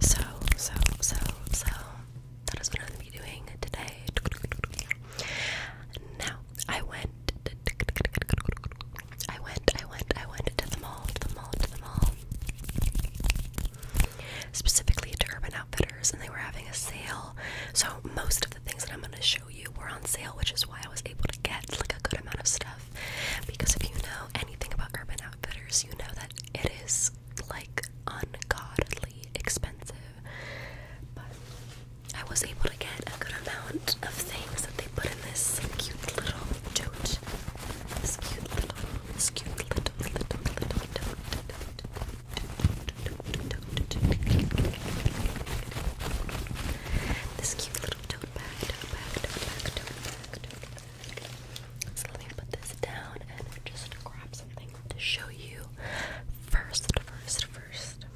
so, so, so, so, that is what I'm going to be doing today. Now, I went. I went, I went, I went to the mall, to the mall, to the mall. Specifically to Urban Outfitters, and they were having a sale. So, most of the things that I'm going to show you were on sale, which is why I was able to get like a good amount of stuff. Because if you know anything about Urban you know that it is like ungodly expensive. But I was able to get a good amount of things that they put in this cute little tote. This cute little, this cute little, tote. This so let me put this down and just grab something to show you first, first, first.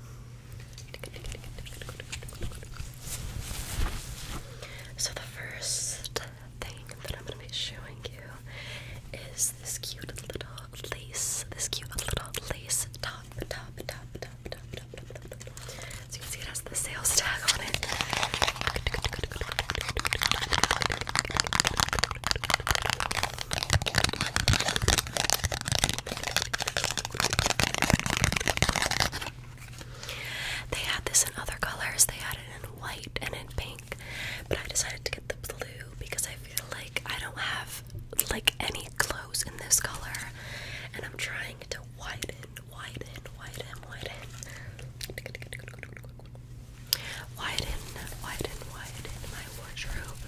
So the first thing that I'm gonna be showing you is this cute little lace, this cute little lace top, top, top, top, top, so you can see it has the sales tag on it. They had this in other colors. They had it in white and in pink, but I decided to get the blue because I feel like I don't have like any clothes in this color, and I'm trying to widen widen, widen, widen. Widen, widen, widen my wardrobe.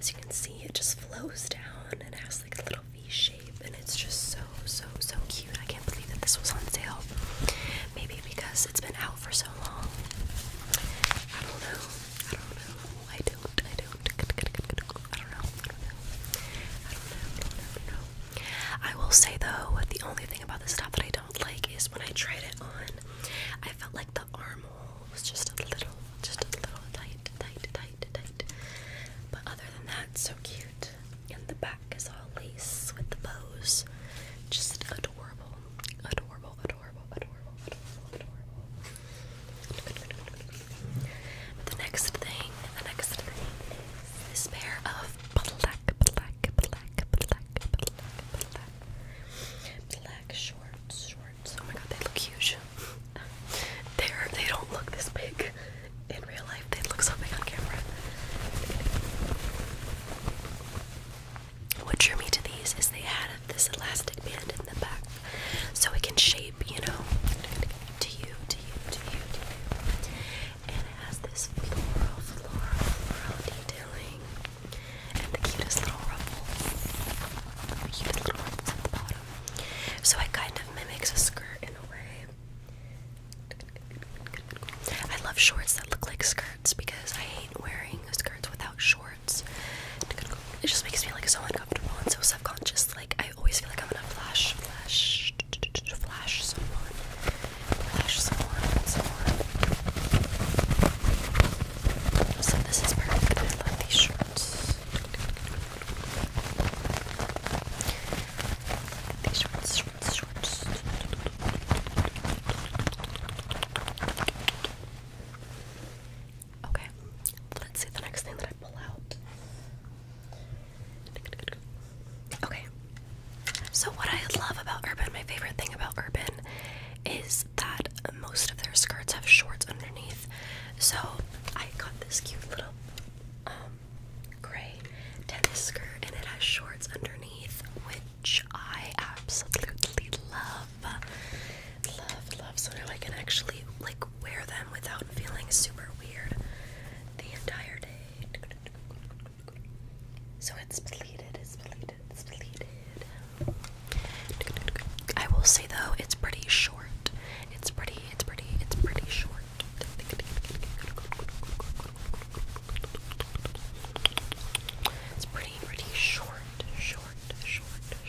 As you can see, it just flows down and has like a little V shape, and it's just so, so, so cute. I can't believe that this was on sale. Maybe because it's been out for so long. I don't know. I don't know. I don't. I don't. I don't know. I don't know. I don't know. I don't ever know. I will say though, the only thing about this top that I don't like is when I tried it on, I felt like the armhole was just a little, just a little tight, tight, tight, tight. But other than that, so cute. And the back is all lace with the bows. Just adorable, adorable, adorable, adorable, adorable, adorable the next thing, the next thing is pair of black, black, black, black, black, black, black shorts. Oh my god, they look huge. They're they don't look this big in real life. They look so big on camera. What drew me to these is they had this elastic band in the back, so it can shape, you know, to you it has this floral, floral, floral detailing. And the cutest little ruffles. cutest little ruffles at the bottom. So it kind of mimics a skirt in a way. I love shorts that look like skirts because I hate wearing skirts without shorts. It just makes me like so uncomfortable and so self-conscious. Like I. I always feel like I'm gonna flash, flash, flash someone, flash someone, someone. So this is perfect. these shorts. These shorts, shorts, shorts. Okay, let's see the next thing that I pull out. Okay. So what I love about Urban, my favorite thing about Urban is that most of their skirts have shorts underneath. So I got this cute little um gray tennis skirt and it has shorts underneath which I absolutely love. Love, love. So now I can actually like wear them without feeling super weird the entire day. So it's bleeded, it's bleeded, it's bleeded. I will say though, it's pretty short. It's pretty, it's pretty, it's pretty short. It's pretty, pretty short, short, short, they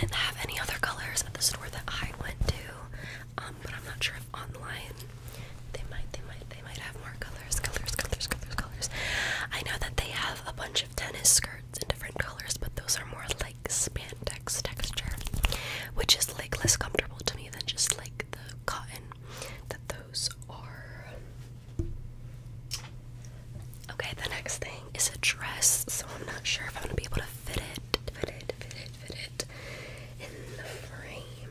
didn't have any other colors at the store that I went to, um, but I'm not sure if online they might, they might, they might have more colors, colors, colors, colors, colors. I know that they have a bunch of tennis skirts in different colors, but those are more like spandex texture, which is like less comfortable to me than just like the cotton that those are. Okay, the next thing is a dress, so I'm not sure if I'm gonna be able to fit it, fit it, fit it, fit it in the frame.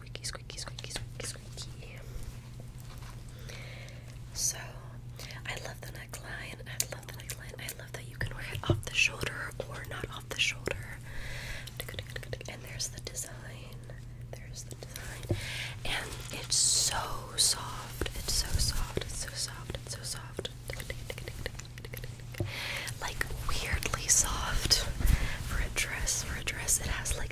squeaky, squeaky, squeaky, squeaky, squeaky. So, I love the neckline. I love the neckline. I love that you can wear it off the shoulder or not off the shoulder. And there's the design. There's the design. And it's so soft. It's so soft. It's so soft. It's so soft. Like weirdly soft for a dress. For a dress, it has like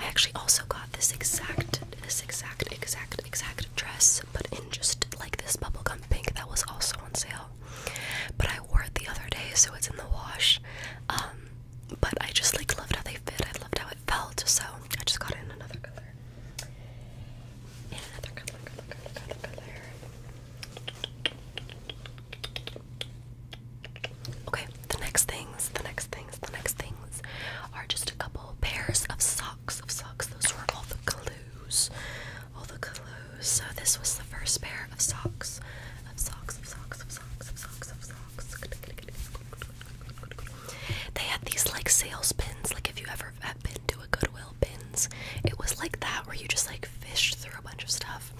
I actually also got this exact, this exact, exact, exact dress, but in just like this bubblegum pink that was also on sale. But I wore it the other day, so it's in the wash. Um, but I just like loved how they fit. I loved how it felt, so I just got it in another color. Okay, the next things, the next things, the next things are just a couple pairs of socks. Of socks, those were all the clues. All the clues. So this was the first pair of socks. Of socks, of socks, of socks, of socks, of socks. They had these like sales pins, like if you ever have been to a Goodwill pins, it was like that where you just like fished through a bunch of stuff.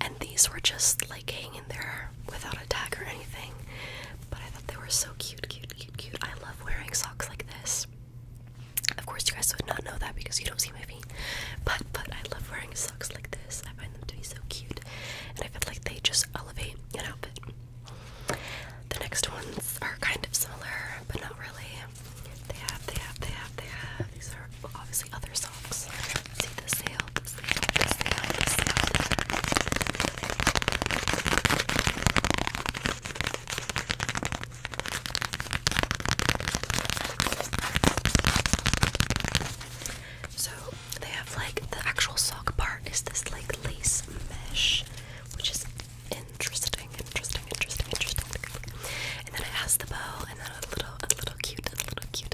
And these were just like hanging there without a tag or anything. But I thought they were so cute, cute, cute, cute. I love wearing socks like this. Of course, you guys would not know that because you don't see my feet. But but I love wearing socks like this. I find them to be so cute, and I feel like they just elevate an outfit. The next ones are kind of similar, but not really. They have, they have, they have, they have. These are well, obviously other socks. See the sale, the sale, the sale, the sale, the sale. So they have like the actual sock part is this like lace mesh, which is interesting, interesting, interesting, interesting. And then it has the bow, and then a little, a little cute, a little cute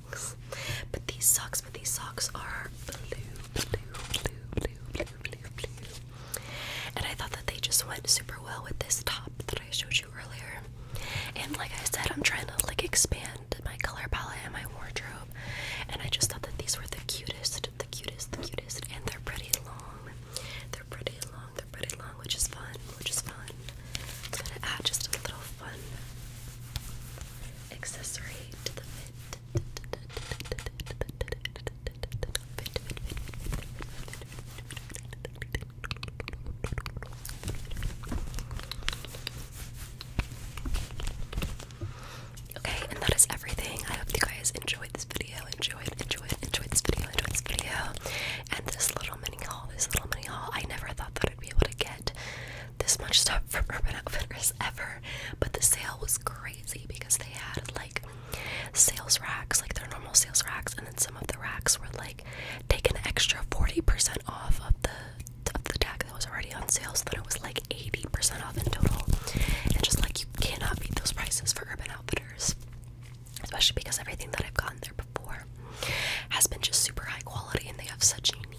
socks. But these socks, but these socks are blue, blue, blue, blue, blue, blue. And I thought that they just went super well with this top that I showed you earlier. And like I said, I'm trying to like expand my color palette and my wardrobe. And I just thought that these were the cutest, the cutest, the cutest, and they're pretty long. They're pretty long, they're pretty long, which is fun, which is fun. It's gonna add just a little fun accessory to the fit. Okay, and that is everything. I hope you guys enjoyed this video, enjoyed, enjoyed, enjoyed this video, enjoyed this video, and this little mini haul, this little mini haul. I never thought that I'd be able to get this much stuff from Urban Outfitters ever, but the sale was crazy because they had like sales racks, like their normal sales racks, and then some of the racks were like take an extra 40% off of the of the deck that was already on sale, so then it was like 80% off in total. And just like you cannot beat those prices for Urban Outfitters, especially because everything that I've gotten there before has been just super high quality, and they have such unique